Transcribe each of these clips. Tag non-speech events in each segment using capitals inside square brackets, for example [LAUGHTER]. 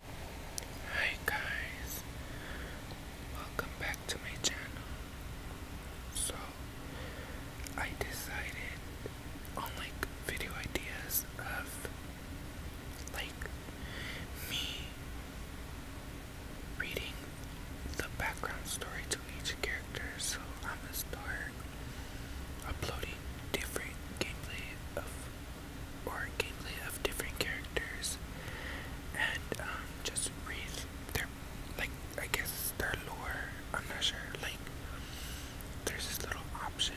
Hi guys, welcome back to my channel. So, I decided on like video ideas of like me reading the background story to each character. So, I'm gonna start uploading different gameplay of or gameplay of different characters and um, just read their, like, I guess their lore. I'm not sure. Like, there's this little option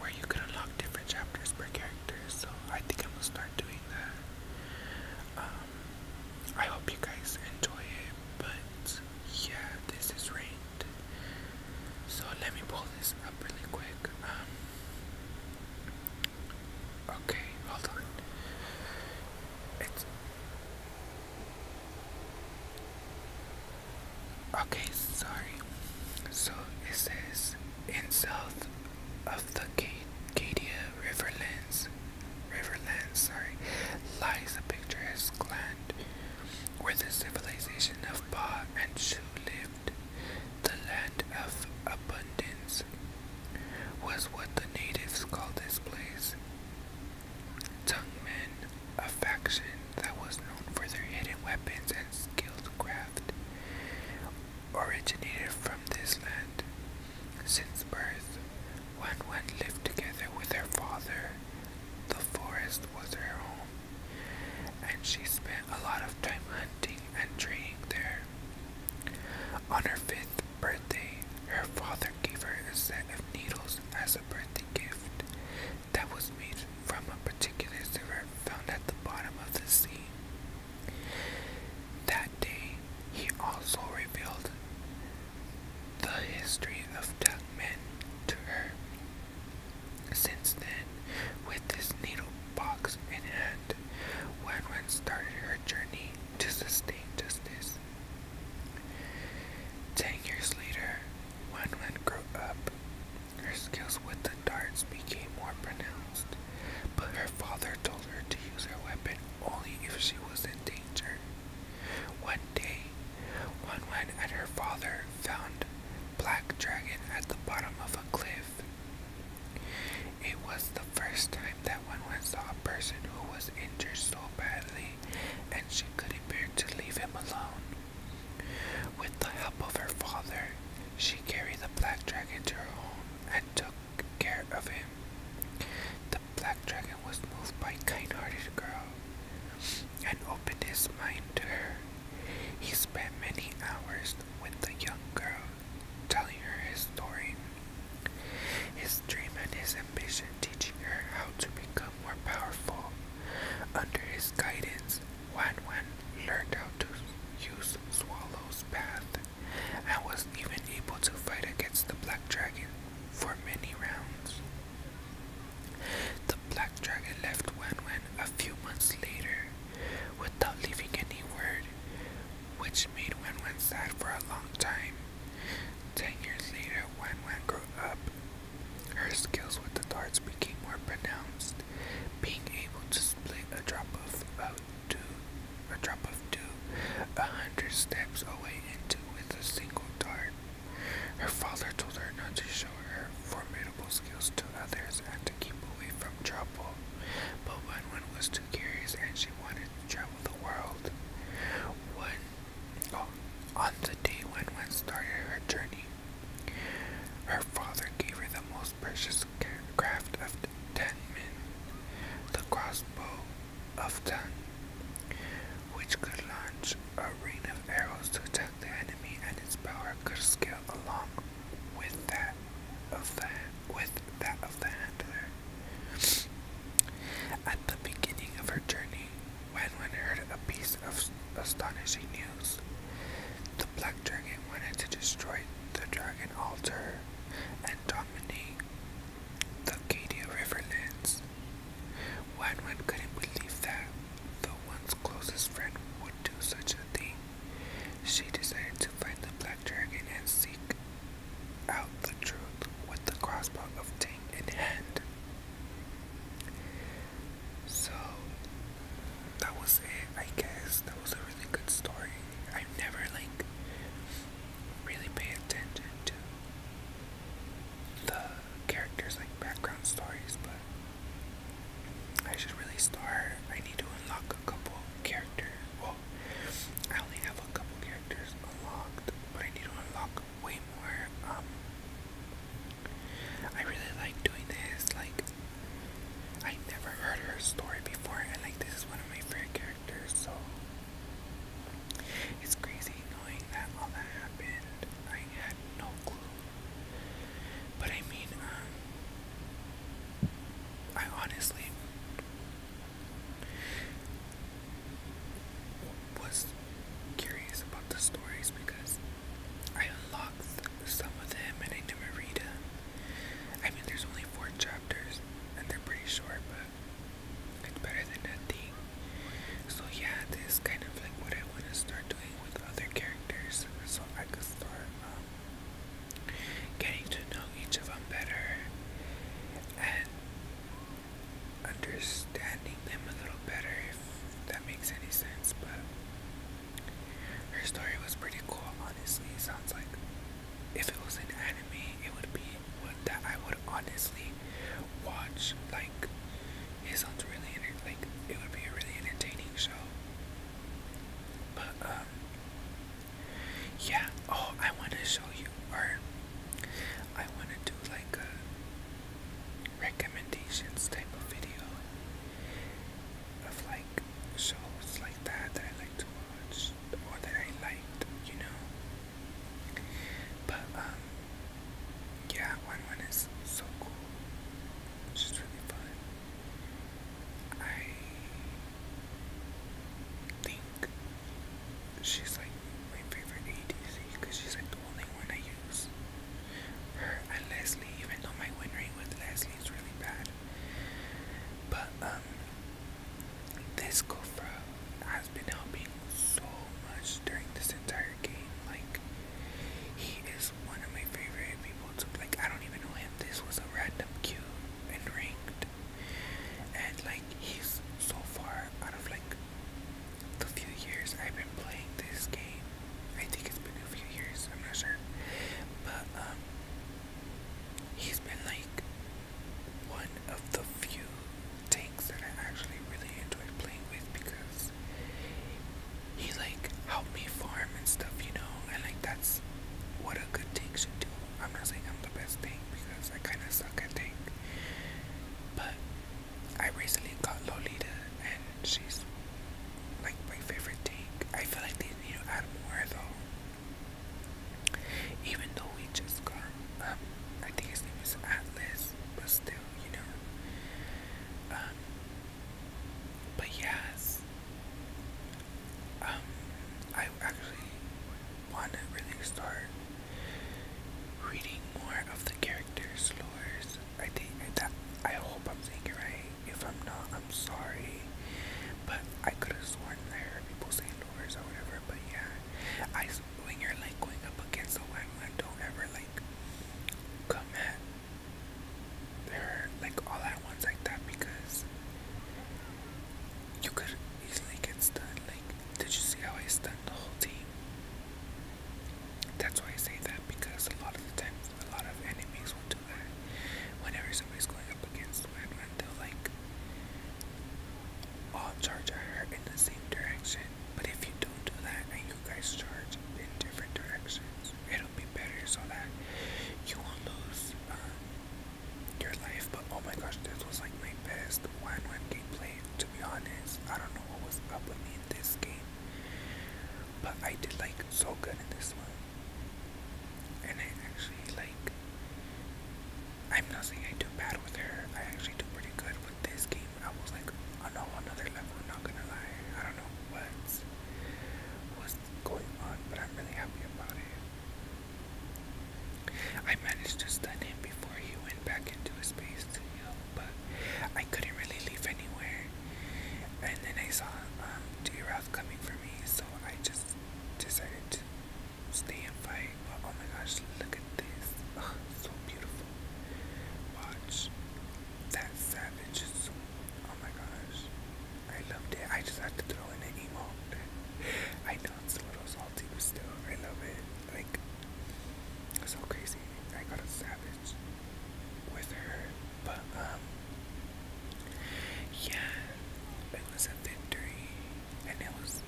where you can unlock different chapters per character, so I think I'm gonna start doing that. Um, I hope you guys enjoy it, but yeah, this is rained. So let me pull this up really quick. Um, okay, hold on. It's okay. Sorry. So it says in south of the Cadia Riverlands, Riverlands, sorry, lies a picturesque land where the civilization of Ba and Shu live the land of abundance, was what the natives called this place. Tungmen, a faction that was known for their hidden weapons and skilled craft, originated from this land. Since birth, Wan Wan lived together with her father. The forest was her home and she spent a lot of time hunting and training there. On her fifth birthday, her father gave her a set of needles as a birthday gift that was made from a particular silver found at the bottom of the sea. That day, he also revealed the history of Dugmen to her since then, with this needle box in hand, Wenwen started her journey to sustain justice. Ten years later, Wenwen grew up. Her skills with the darts became more pronounced, but her father told her to use her weapon only if she was in danger. One day, one went at her father, found Black Dragon at the bottom of a cliff. It was the first time that one went saw a person who was injured so badly, and she couldn't bear to leave him alone. With the help of her father, she carried the black dragon to her home and took care of him. The black dragon was moved by kind-hearted girl and opened his mind to her. He spent many hours with the young girl, telling her his story, his dream, and his ambition, teaching her how to become more powerful. Under his guidance, Wan Wan learned how to use Swallow's path and was even able to fight against the black dragon for many rounds. The black dragon left Wanwan a few months later without leaving any word, which made Wanwan sad for a long time. Ten years later, Wanwan grew up. Her skills with the darts became more pronounced, being able to split a drop of dew, a drop of dew, a hundred steps away into with a single dart. Her father told her not to show her formidable skills to others and to keep away from trouble, but Wenwen was too curious and she wanted to travel the world. When, oh, on the day Wenwen started her journey, her father gave her the most precious craft of the ten men, the crossbow of tongue, which could launch a rain of arrows to attack the enemy, and its power could scale along with that of the with that of the hand. At the beginning of her journey, Wenwen heard a piece of astonishing news. The black dragon wanted to destroy the dragon altar and dominate the Cadia Riverlands. One couldn't believe that, though one's closest friend would do such a thing. She decided to find the black dragon and seek out the truth with the crossbow of Tang in hand. So that was it, I guess. That was a really good story. I've never like really paid attention to the characters like background stories, but I should really start. I need to unlock a couple characters. Well, I only have a couple characters unlocked, but I need to unlock way more. Um, I really like doing this. Like, I never heard her story before, and like, this is one of my favorite characters, so it's crazy knowing that all that happened. I had no clue. But I mean, um, I honestly was curious about the stories because I unlocked some of them and I never read them. I mean, there's only four chapters and they're pretty short, but better than nothing. So yeah, this kind of like what I want to start doing with other characters, so I could start um, getting to know each of them better and understanding them a little better, if that makes any sense. But her story was pretty cool, honestly. It sounds like if it was an enemy, it would be that I would honestly watch. Like, it sounds really like it would be a really entertaining show. But um, yeah. Oh, I want to show you, or I want to do like a recommendations type of video of like shows like that that I like to watch or that I liked, you know. But um yeah, one one is so cool. It's really fun. I think she's like my favorite ADC because she's like the only one I use. Her and Leslie, even though my win rate with Leslie is really bad. But um this Gofra has been helping so much during this entire game. Like, he is one of my favorite people to like. I don't even know him. This was a random queue and ranked, and like he's so far out of like the few years I've been playing this game. I think it's been a few years. I'm not sure, but um, he's been like one of the few tanks that I actually really enjoyed playing with because he like helped me farm and stuff, you know, and like that's what a good tank should do. I'm not saying I'm the best tank because I kind of suck at tank, but I recently got Lolita and she's like my favorite tank. I feel like they need to add more though. Even though we just got, um, I think his name is Atlas, but still, you know. Um, but yes, um, I actually want to really start reading more of the characters' lores. I think that I hope I'm saying it right if I'm not, I'm sorry. But I could have sworn there heard people saying doors or whatever. But yeah, I when you're like going up against a landline, don't ever like come at They're like all at once like that because you could easily get stunned. Like, did you see how I stunned the whole team? That's why I say that because a lot of the times, a lot of enemies will whenever somebody's going up against one, they'll like all charge at her in the same direction. But if you don't do that and you guys charge in different directions, it'll be better so that you won't lose um, your life. But oh my gosh, this was like my best one-one gameplay. To be honest, I don't know what was up with me in this game, but I did like so good in this one. And I actually like. I'm not saying I do bad with her. I actually do pretty good with this game. I was like on a another level. Not gonna lie. I don't know what's going on, but I'm really happy about it. I managed to stun him before he went back into his space to heal, but I couldn't really leave anywhere. And then I saw D. Um, Ralph coming for me, so I just decided to stay and fight. But oh my gosh, look at this. so beautiful. Watch. That savage so, oh my gosh. I love it. I just had to throw in an emote. [LAUGHS] I know it's a little salty, but still, I love it. Like, so crazy. I got a savage with her but um yeah, it was a victory and it was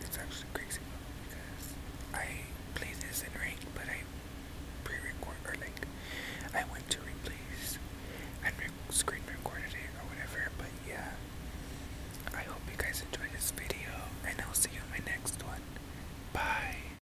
it's actually crazy because I play this in rank but I pre-record or like I went to replace and screen recorded it or whatever but yeah I hope you guys enjoyed this video and I'll see you in my next one. Bye